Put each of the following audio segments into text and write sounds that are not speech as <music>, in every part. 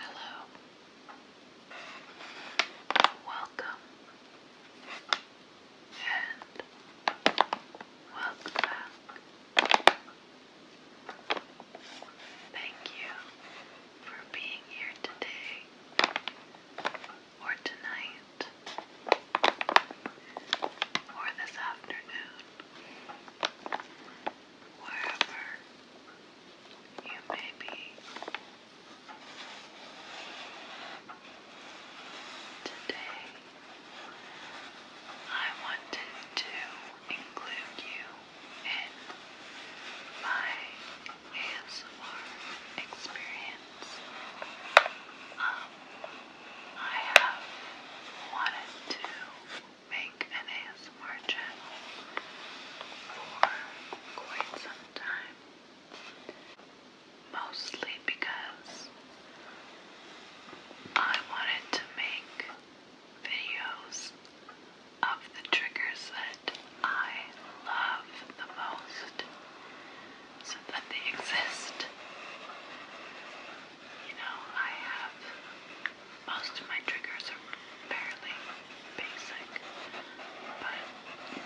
Hello. Welcome. And welcome back. Thank you for being here today or tonight or this afternoon wherever you may be today. I wanted to include you in my ASMR experience. Um, I have wanted to make an ASMR channel for quite some time. Mostly because I wanted to make videos of the triggers that I love the most so that they exist you know, I have most of my triggers are fairly basic, but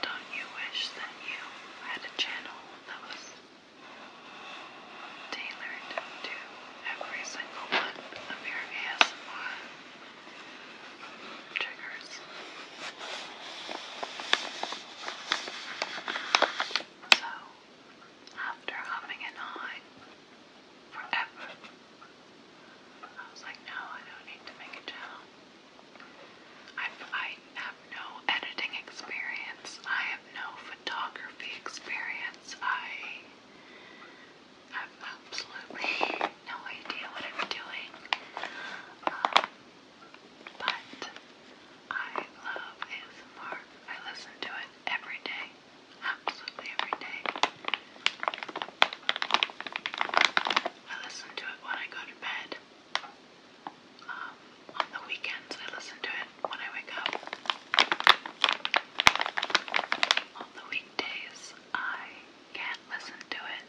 don't you wish that you had a channel that was tailored to every single one of your ASMR triggers? So, after humming and hawing forever. I was like, no, I don't need to make a channel. I, I have no editing experience. I have no photography experience. I have absolutely no idea what I'm doing. Um, but I love ASMR. I listen to it every day. Absolutely every day. I listen to it when I go to bed. Um, on the weekends, I listen to it when I wake up. On the weekdays, I can't listen to it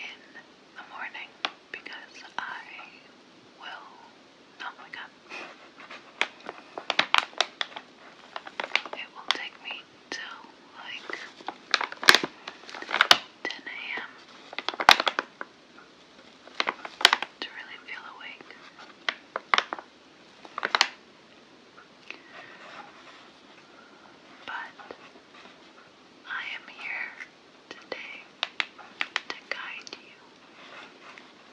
in the morning because I will not wake up. It will take me till like 10 a.m. to really feel awake. But I am here today to guide you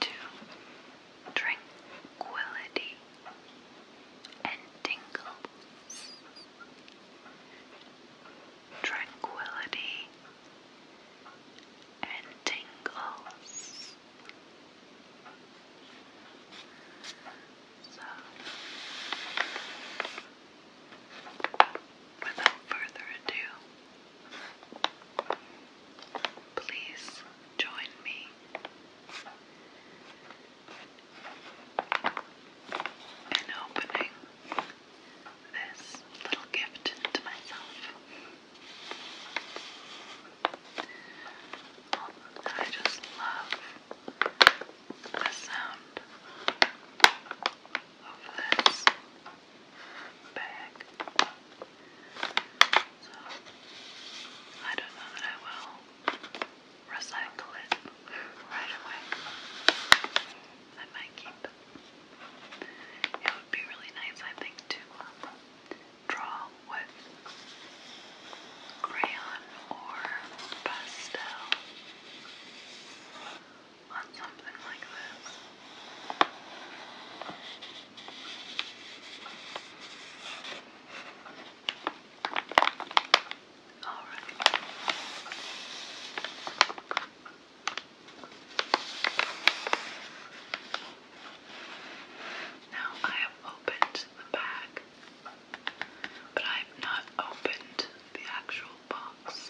to tranquility and tingles. Tranquility and tingles. So, without further ado, Please join me. In opening this little gift to myself, I just love the sound of this bag. So I don't know that I will recycle it right away. I might keep it. It would be really nice, I think, to um, draw with crayon or pastel on something like this. All right. Now I have opened the bag, but I have not opened the actual box.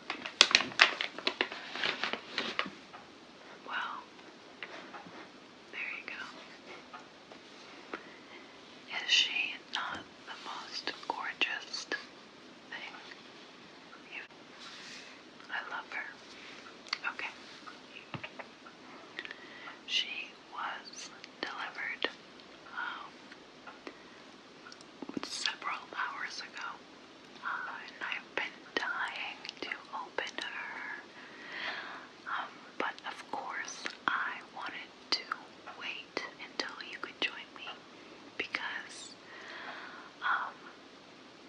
Well, there you go. Is she not the most gorgeous thing? I love her. Okay. She was delivered um, several hours ago, uh, and I've been dying to open her. Um, but of course, I wanted to wait until you could join me because um,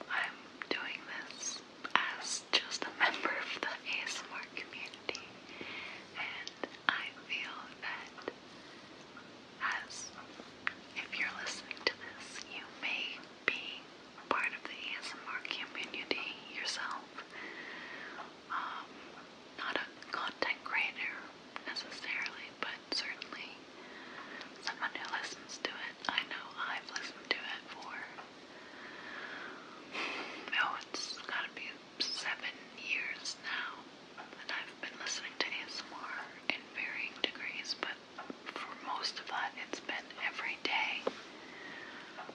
I'm doing this as just a <laughs> member of the ASMR community, and I feel that as if you're listening to this, you may be a part of the ASMR community yourself. Um, not a content creator necessarily, but certainly someone who listens to it. I know I've listened to it for, oh, it's gotta be seven years now and I've been listening to ASMR in varying degrees, but for most of that, it's been every day.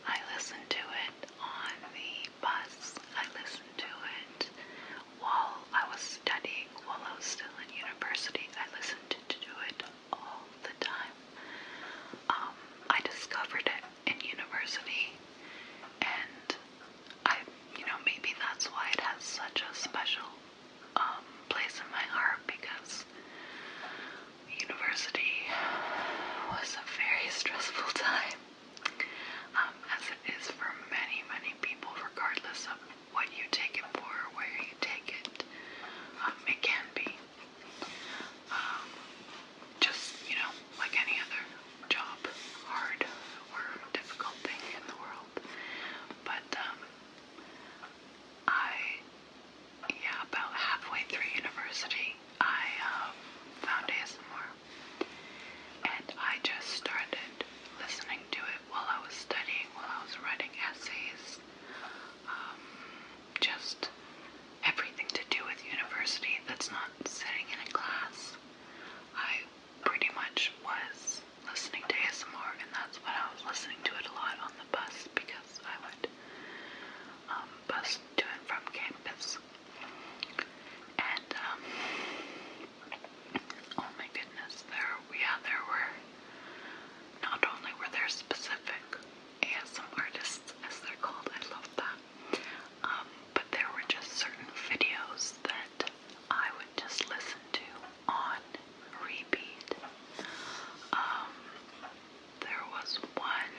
I listened to it on the bus. I listened to it while I was studying, while I was still in university. I listened to, it all the time. Um, I discovered it in university, and I, you know, maybe that's why it has such a special um, place in my heart because university was a very <laughs> stressful time, um, as it is for many, many people, regardless of what you take it for, where you take it. Um, it can be. just, you know, like any other job, hard, or difficult thing in the world. But um, I, yeah, about halfway through university, I um, found ASMR, and I just started listening to it while I was studying, while I was writing essays, um, just everything to do with university that's not sitting in a class. I pretty much was listening to ASMR, and that's what I was listening to it a lot on the bus because I would um, bus to and from campus. And, um, oh my goodness, there, yeah, there were, not only were there specific ASM artists, as they're called, I love that, um, but there were just certain videos that I would just listen to on repeat. Um, there was one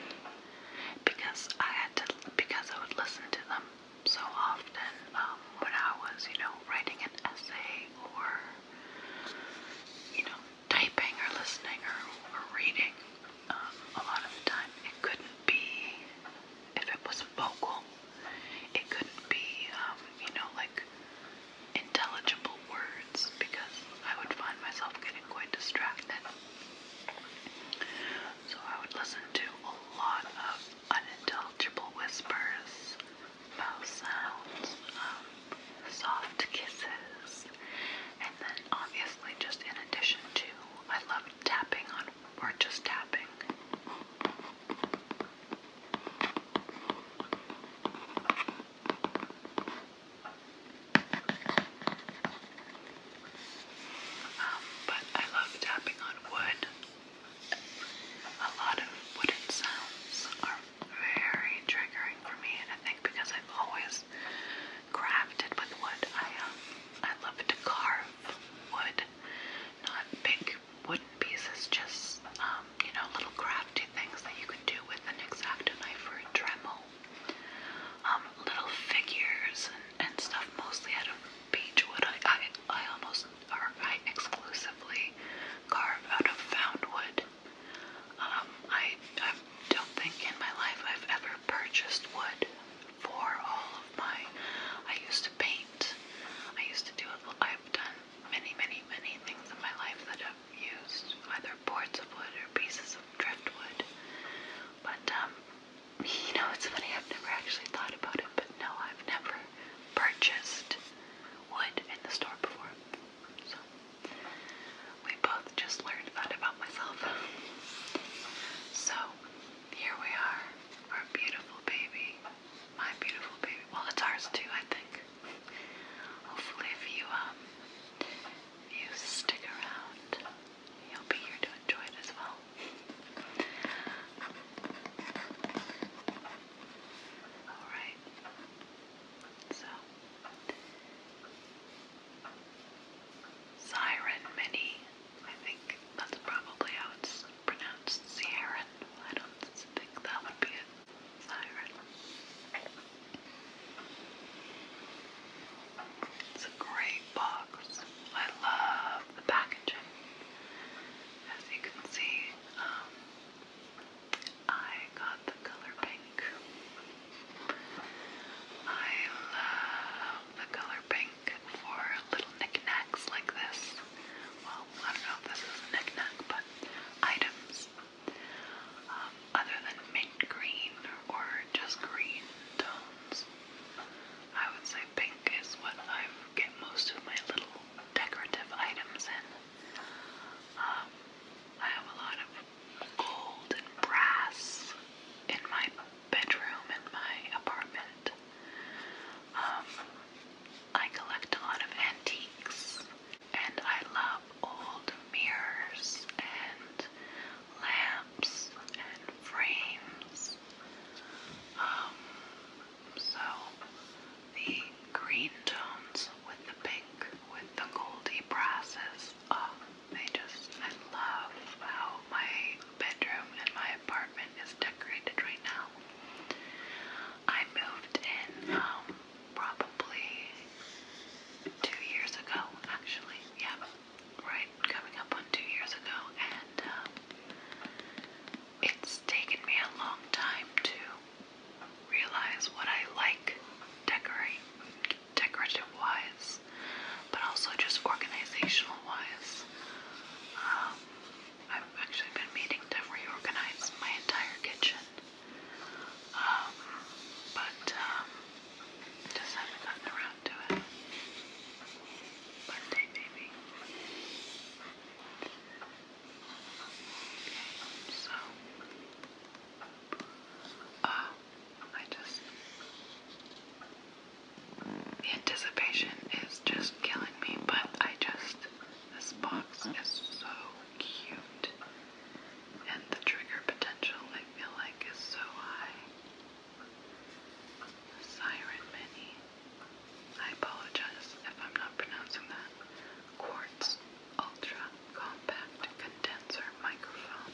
because I had to because I would listen to them so often um, when I was you know writing an essay or you know typing or listening or, reading. Um, a lot of the time, it couldn't be if it was vocal. It couldn't be, um, you know, like intelligible words because I would find myself getting quite distracted. So I would listen to a lot of unintelligible whispers, mouth sounds, um, soft kisses, and then obviously, just in addition to, I loved tapping on or just tapping. Um, but I love tapping on wood. A lot of wooden sounds are very triggering for me, and I think because I've always crafted with wood, I um, I love to carve wood, not big like wooden pieces, just um, you know, little crafty things that you can do with an exacto knife or a Dremel. Um, little figures and, and stuff, mostly out of beechwood. I, I, I almost, or I exclusively carve out of found wood. Um, I, I don't think in my life I've ever purchased wood for all of my. I used to paint I used to do it, I've done many, many, many things in my life that have used either boards of wood or pieces of driftwood. But, um, you know, it's funny, I've never actually thought about it, but no, I've never purchased wood in the store before. So, we both just learned that about myself. So, here we are, our beautiful baby my beautiful baby. Well, it's ours too, I think. Hopefully, if you um, you stick around, you'll be here to enjoy it as well. All right. So, Siren Mini I think that's probably how it's pronounced, Sierran. I don't think that would be it, Siren. It's a great box. I love the packaging. As you can see, um, I got the color pink. I love the color pink for little knickknacks like this. Well, I don't know if this is a knickknack, but items um, other than mint green or just green tones. I would say pink is what I get most of my little decorative items in. Um, I have a lot of gold and brass in my bedroom in my apartment. Um, I collect a lot of antiques and I love old mirrors and lamps and frames. Um, so the green tones with the pink, with the goldy brasses, oh, they just, I love how my bedroom and my apartment is decorated right now. I moved in um, probably two years ago, actually. Yeah, right, coming up on two years ago, and um, it's taken me a long time to realize what I like decorate, decorative wise, but also just organizational wise. Um, I've actually been meaning to reorganize my entire kitchen. Um, but, um, just haven't gotten around to it. One maybe. Okay, so, uh, I just the anticipation is just killing me, but I just. This box is so cute. And the trigger potential, I feel like, is so high. The Siren Mini. I apologize if I'm not pronouncing that. Quartz Ultra Compact Condenser Microphone.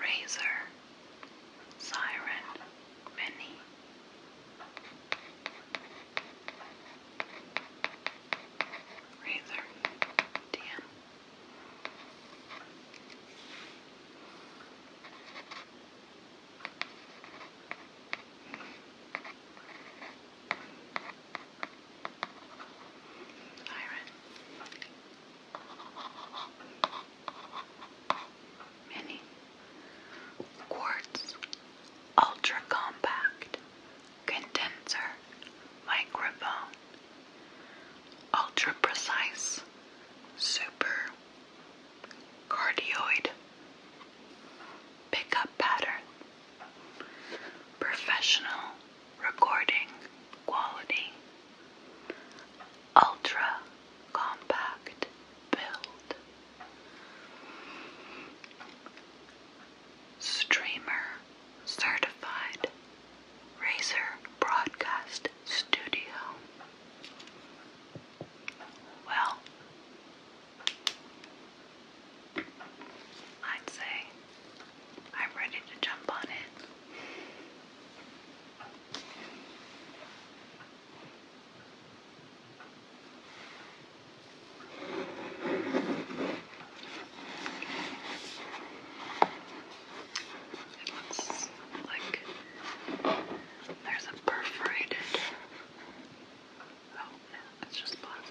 Razor, Siren, Mini. Razor, DM. Iron. Mini. Quartz. Ultra compact. Condenser. Microphone. Ultra precise. Super cardioid, pickup pattern, professional recording quality, ultra compact build, streamer certified, Razer Broadcast Studio. Well, I'd say I'm ready to jump on it. like there's a perforated. Oh, it's just plastic.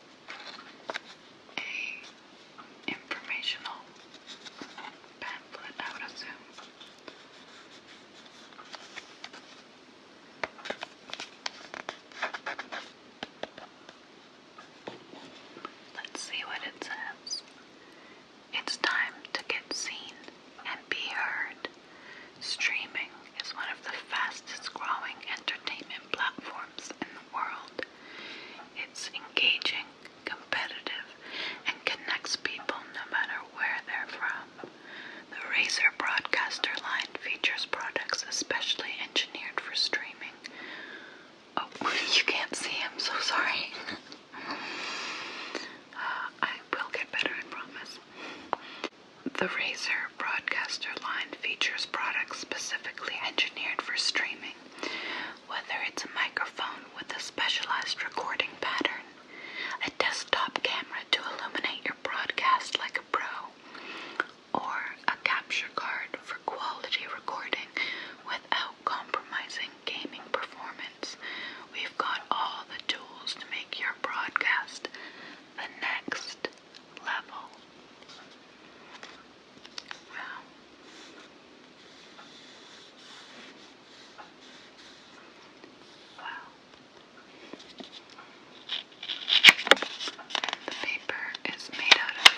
a informational pamphlet, I would assume. Let's see what it says. It's time to get seen and be heard. Streaming is one of the fastest growing entertainment platforms in the world. It's engaging, competitive, and connects people no matter where they're from. The Razer broadcaster line features products especially engineered for streaming. Oh, <laughs> you can't see, I'm so sorry. <laughs> Uh, I will get better, I promise. The Razer broadcaster line features products specifically engineered for streaming, whether it's a microphone with a specialized recording pattern, a desktop camera to illuminate your broadcast like a pro, or a capture card for quality recording without compromising gaming performance. We've got all the tools to make your broadcast the next Wow. Wow. the paper is made out of,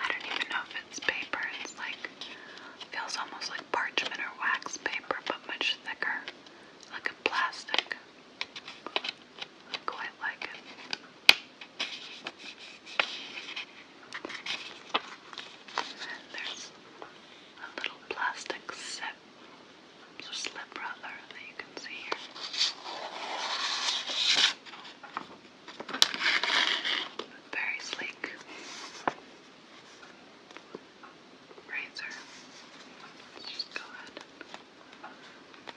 I don't even know if it's paper, it's like, feels almost like parchment or wax paper, but much thicker, like a plastic quite like it. And there's a little plastic sip, or slip rather, that you can see here. Very sleek razor. Let's go ahead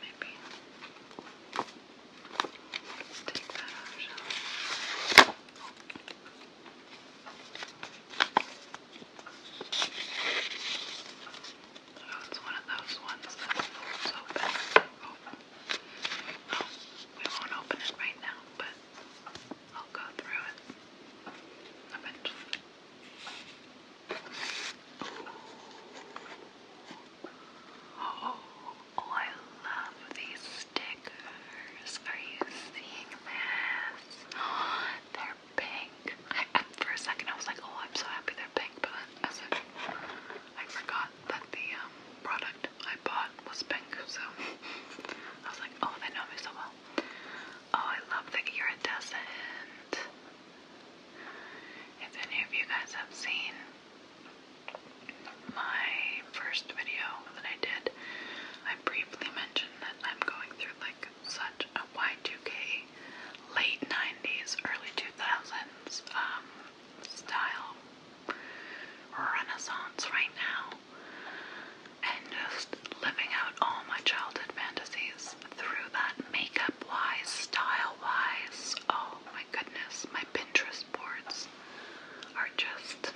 Maybe. let take that out, shall we? Oh, one of those ones that folds open. Oh. oh, we won't open it right now, but I'll go through it eventually. Oh, oh, I love these stickers. Are you seeing this? <gasps> they're pink. I, for a second, I was like, oh, I'm so happy they're pink, but I, forgot that the um, product I bought was pink, so <laughs> I was like, oh, they know me so well. Oh, I love the iridescent. If any of you guys have seen my first video that I did, I briefly mentioned that I'm going through like such a Y2K late 90s, early 2000s um, style renaissance right now and just living out all my childhood fantasies through that makeup wise, style wise. Oh my goodness, my Pinterest boards are just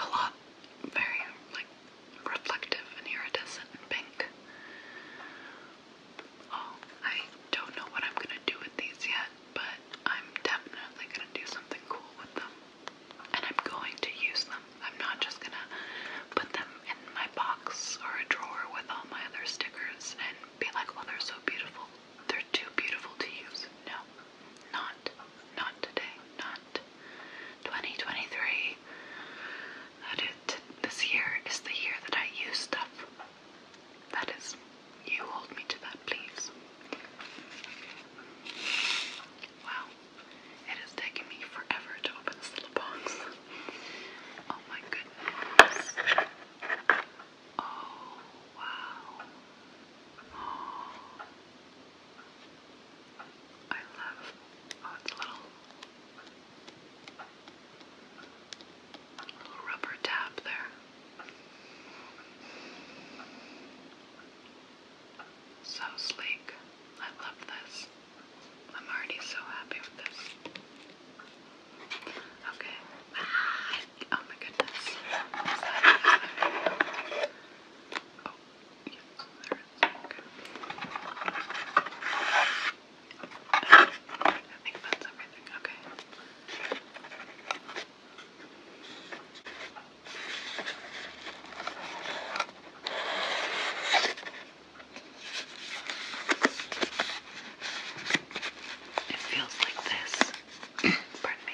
a lot very like reflective and iridescent pink. Oh, I don't know what I'm gonna do with these yet, but I'm definitely gonna do something cool with them. And I'm going to use them. I'm not just gonna put them in my box or a drawer with all my other stickers and be like, well, oh, they're so beautiful. They're too beautiful to use. No, not, not today, not 2023. This year is the year that I use stuff. That is, you hold me to that, please. Wow, it is taking me forever to open this little box. Oh my goodness. Oh wow. Oh. I love oh it's a little little rubber tap there. So sleek. I love this. I'm already so happy with this. Okay. Ah, oh my goodness. oh, there I think that's everything. Okay. It feels like this. <clears throat> Pardon me.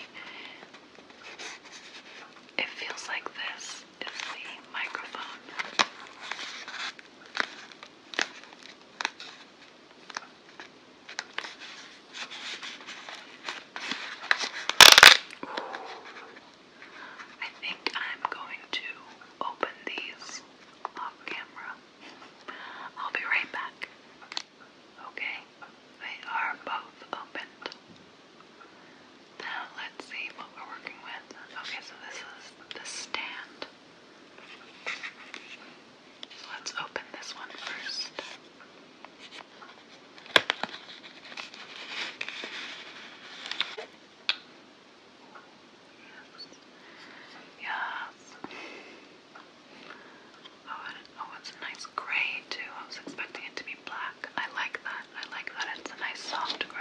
It feels like this is the microphone. I think I'm going to open these off camera. I'll be right back. Okay, they are both opened. Now let's see what we're working with. Okay, so this is the stand. let's open this one first. Yes. Oh, oh, it's a nice gray too. I was expecting it to be black. I like that. I like that. It's a nice soft gray.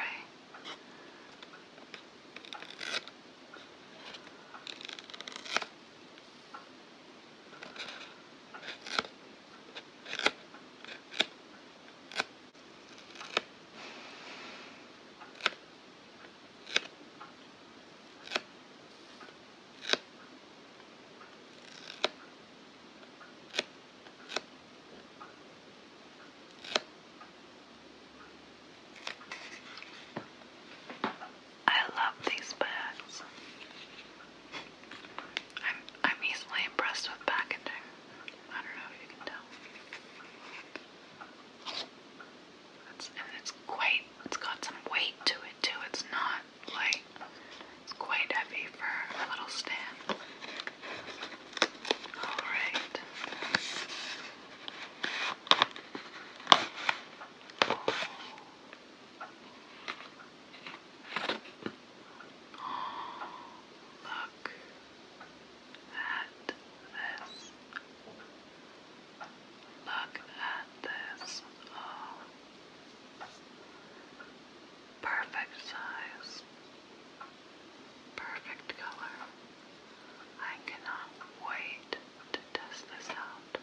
I love these bags. I'm I'm easily impressed with packaging. I don't know if you can tell and it's quite, it's got some weight to it too. It's not like, it's quite heavy for a little stand. Alright. Oh, look at this. Look at this. Oh. Perfect size. Perfect color. I cannot wait to test this out.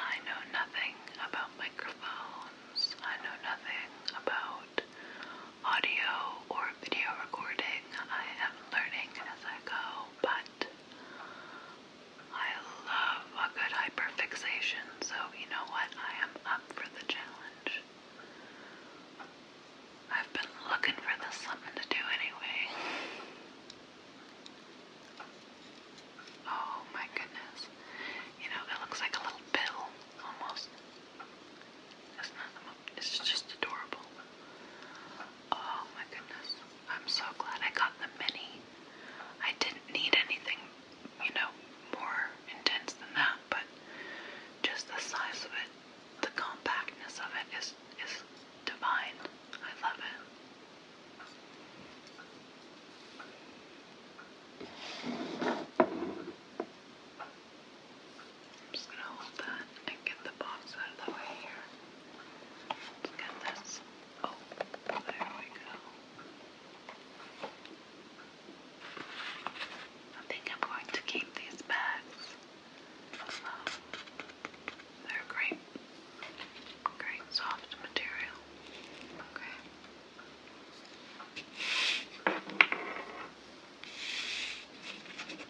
I know nothing about microphones. I know nothing about audio or video recording. I am learning as I go, but I love a good hyperfixation, so you know what? I am up for the challenge. I've been looking for this something to do anyway. Oh my goodness. You know, it looks like a little pill almost. Isn't that the it's just adorable. Oh my goodness. I'm so glad I got the mini. I didn't need anything, you know, more intense than that, but just the size of it, the compactness of it is is divine. I love it. I'm just gonna hold that and get the box out of the way here. Let's get this. Oh, there we go. I think I'm going to keep these bags. they're great. Great soft material. Okay. There we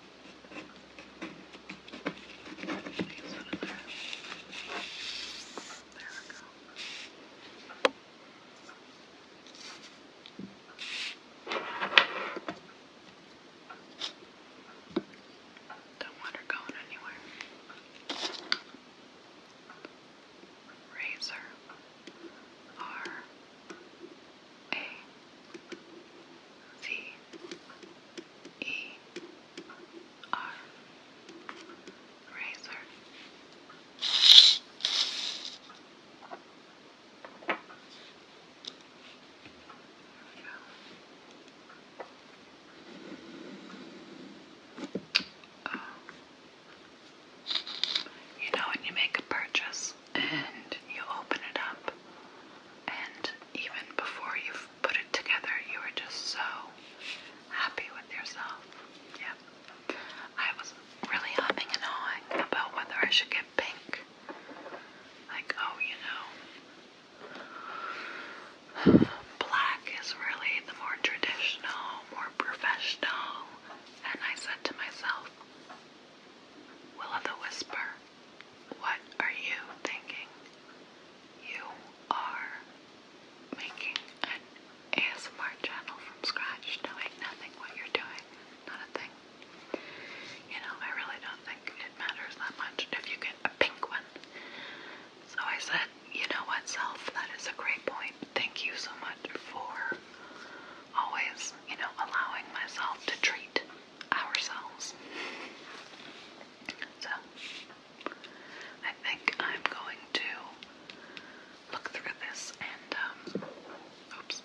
Don't want her going anywhere. Razor R a V E R razor. Oh, you know, when you make a purchase and you open it up, and even before you put it together, you are just so happy with yourself. Yeah. I was really humming and hawing about whether I should get pink. Like, oh, you know, black is really the more traditional, more professional. And I said to myself, Will of the Whisper, what are you thinking? You are making an ASMR channel from scratch, knowing nothing what you're doing, not a thing. You know, I really don't think it matters that much if you get a pink So I said, you know what, self, that is a great point. Thank you so much for always you know, allowing myself to treat ourselves. So, I think I'm going to look through this and, um, oops,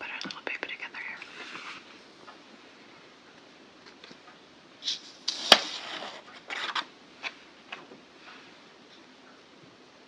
put our little paper together here.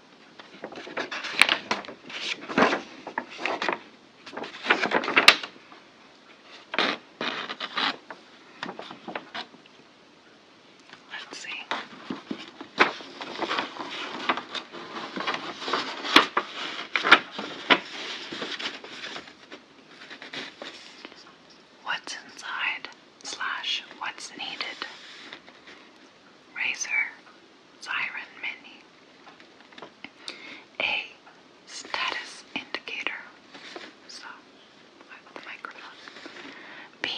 Let's see. What's inside slash what's needed. Razor, siren mini, a status indicator, so microphone, B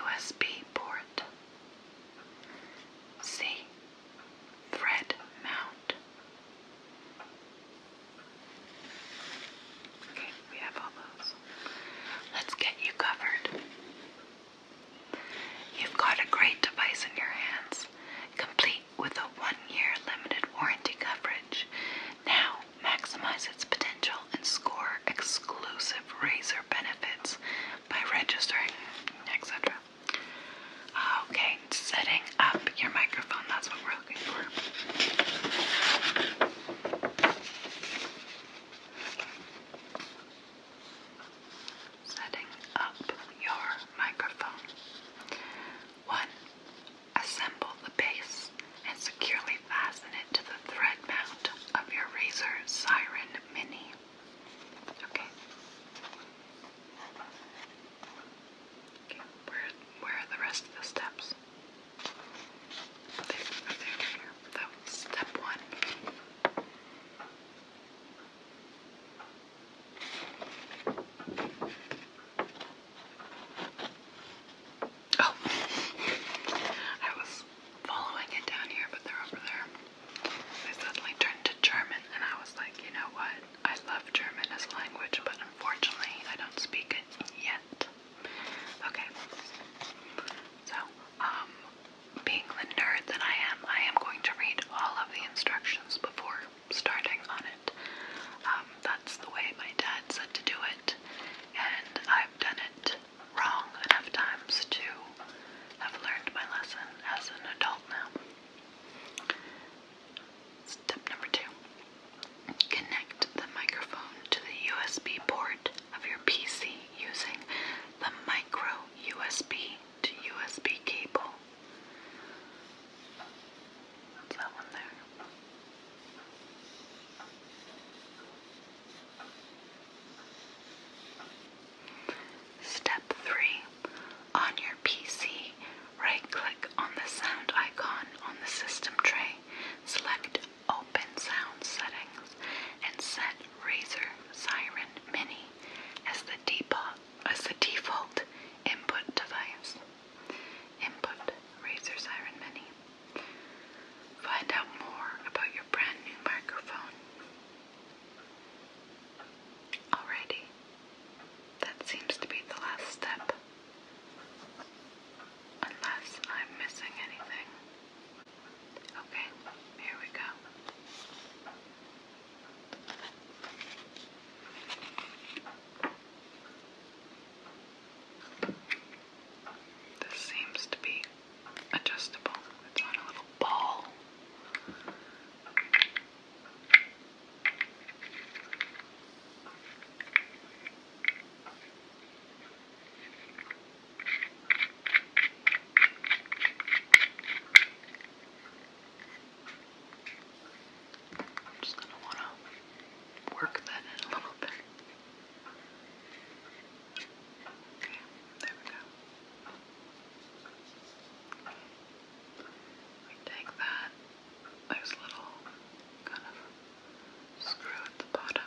USB port, C thread mount. Okay, we have all those. Let's get you covered. You've got a great device in your hands, complete with a one-year limited warranty coverage. Now maximize its potential and score exclusive razor benefits by registering, etc. Okay, setting up your microphone, that's what we're looking for setting up your microphone. 1. Assemble the base and securely fasten it to the thread mount of your Razer Siren Mini. Okay. where, are the rest of the steps? There, That was step one. Oh. I was following it down here, but they're over there. I suddenly turned to German, and I was like, you know what? I love German as a language, but unfortunately, I don't speak it yet. Okay, so um, being the nerd that I am, I am going to read all of the instructions before starting on it. Um, that's the way my dad said to do it, and I've done it wrong enough times to have learned my lesson as an adult now. Step number two. Connect the microphone to the USB port of your PC using the micro USB to USB cable. that one there? Step 3. On your PC, right click on the sound icon on the system tray, select Open Sound Settings, and set Razer Siren Mini as the default, input device. Input Razer Siren Mini. Find out more about your brand new microphone. Alrighty, that seems to be the last step. Unless I'm missing anything. Okay, here we go. This seems to be adjustable. It's on a little ball. I'm just going to want to work that in a little bit. Okay, there we go. We take that, there's little kind of screw at the bottom.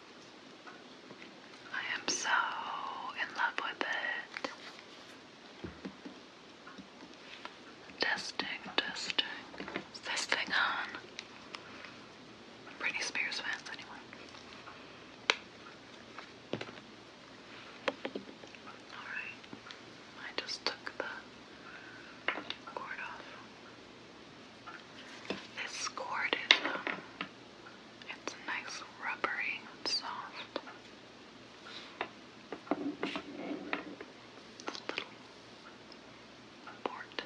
I am so in love with it. Testing, testing. Is on? Britney Spears fans, anyone? Alright. I just took the cord off. This cord is, it's nice, rubbery, soft. little port.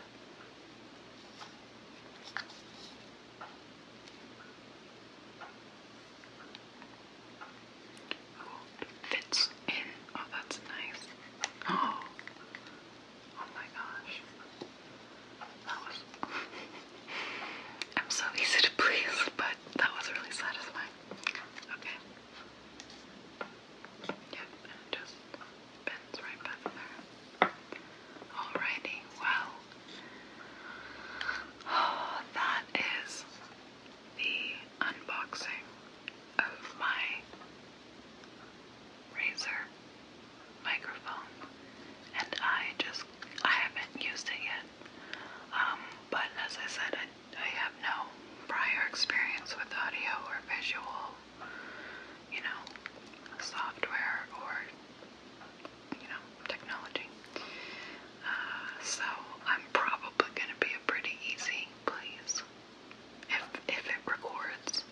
Oh, fits in. Oh, that's nice. <gasps> Oh, Oh my gosh. That was. I'm so easy to please, but that was really satisfying. Okay. Yep, and it just bends right back there. Alrighty, well. <sighs> that is the unboxing of my razor microphone and I just I haven't used it yet um, but as I said I, I have no prior experience with audio or visual you know software or you know technology uh, so I'm probably gonna be a pretty easy please if if it records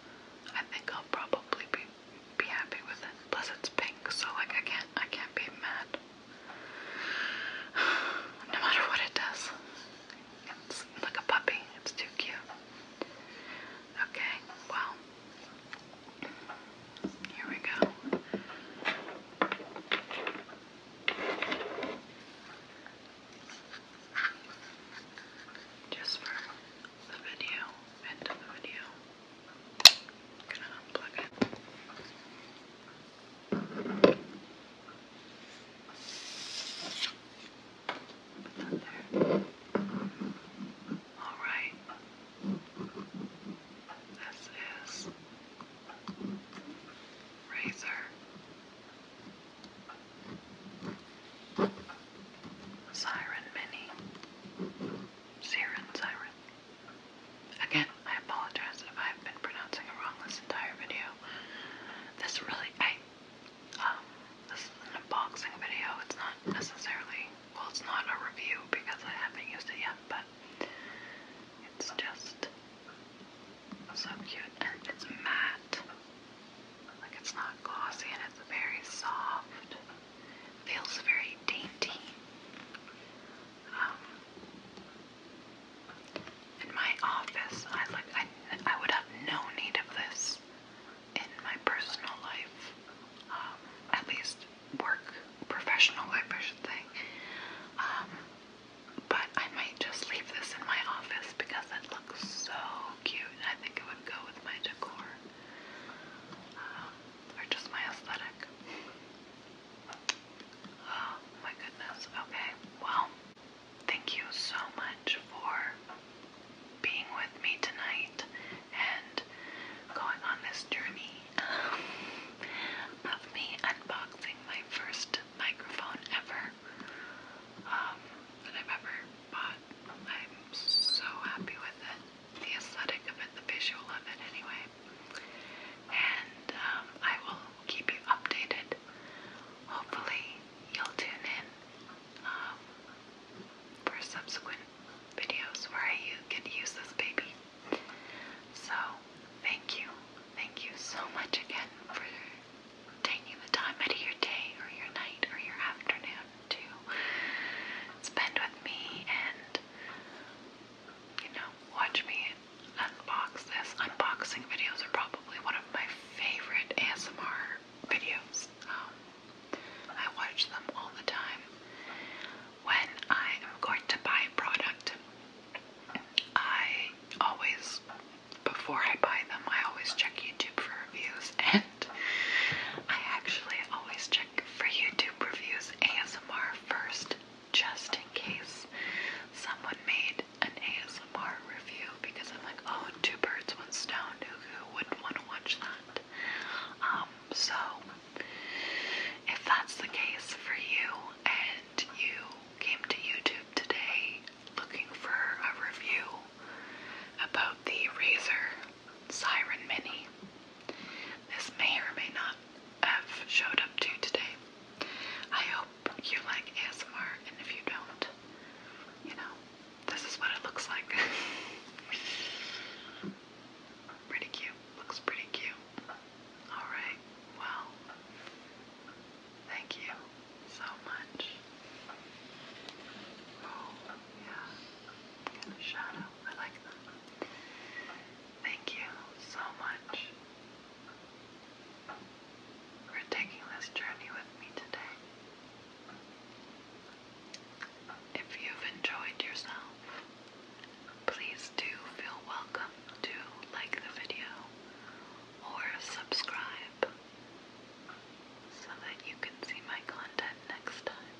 I think I'll probably be be happy with it. Plus it's pink, so like I can't I can't be mad. <sighs> No matter what it does. It's like a puppy. It's too cute. Okay, well here we go. Just for the video, end of the video. I'm gonna unplug it. Put that there. Alright. This is Razor. Siren Mini. Siren Siren. Again, I apologize if I've been pronouncing it wrong this entire video. This really, I, um, this is an unboxing video. It's not necessarily, well, it's not a review because I haven't used it yet, but it's just so cute. And it's matte. Like it's not glossy and it's very soft. Feels very dainty. Um, in my office, I like I, I would have no need of this in my personal life. Um, at least work, professional life, I um, but I might just leave this in my office because it looks so cute I think it would go with my decor or just my aesthetic. Oh my goodness. Okay. Well, thank you so much for being with me tonight and going on this journey of me unboxing my first microphone ever um, that I've ever but I'm so happy with it. The aesthetic of it, the visual of it, anyway. And um, I will keep you updated. Hopefully, you'll tune in um, for subsequent videos where I get use this baby. So, thank you. Thank you so much again for taking the time out of your day or your night or your afternoon to spend with me and, you know, watch me unbox this. Unboxing videos are probably one of my favorite ASMR videos. Um, I watch them all the time. When I am going to buy a product, I always, before I buy them, I always check YouTube for reviews <laughs> and I actually always check for YouTube reviews ASMR first, just in case someone made an ASMR review because I'm like, oh, two birds, one stone. Who, wouldn't want to watch that? Um, so if that's the case for you and you came to YouTube today looking for a review about the Razor. Siren Mini. This may or may not have showed up to today. I hope you like ASMR, and if you don't, you know, this is what it looks like. <laughs> pretty cute. Looks pretty cute. Alright, well, thank you so much yeah, in the shadow. I like them. Thank you so much for taking this journey with me today. If you've enjoyed yourself, please do feel welcome to like the video or subscribe so that you can see my content next time.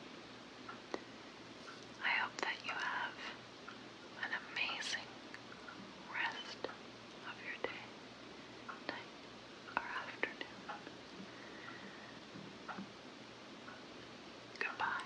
I hope that you have an amazing rest of your day, or afternoon. Goodbye.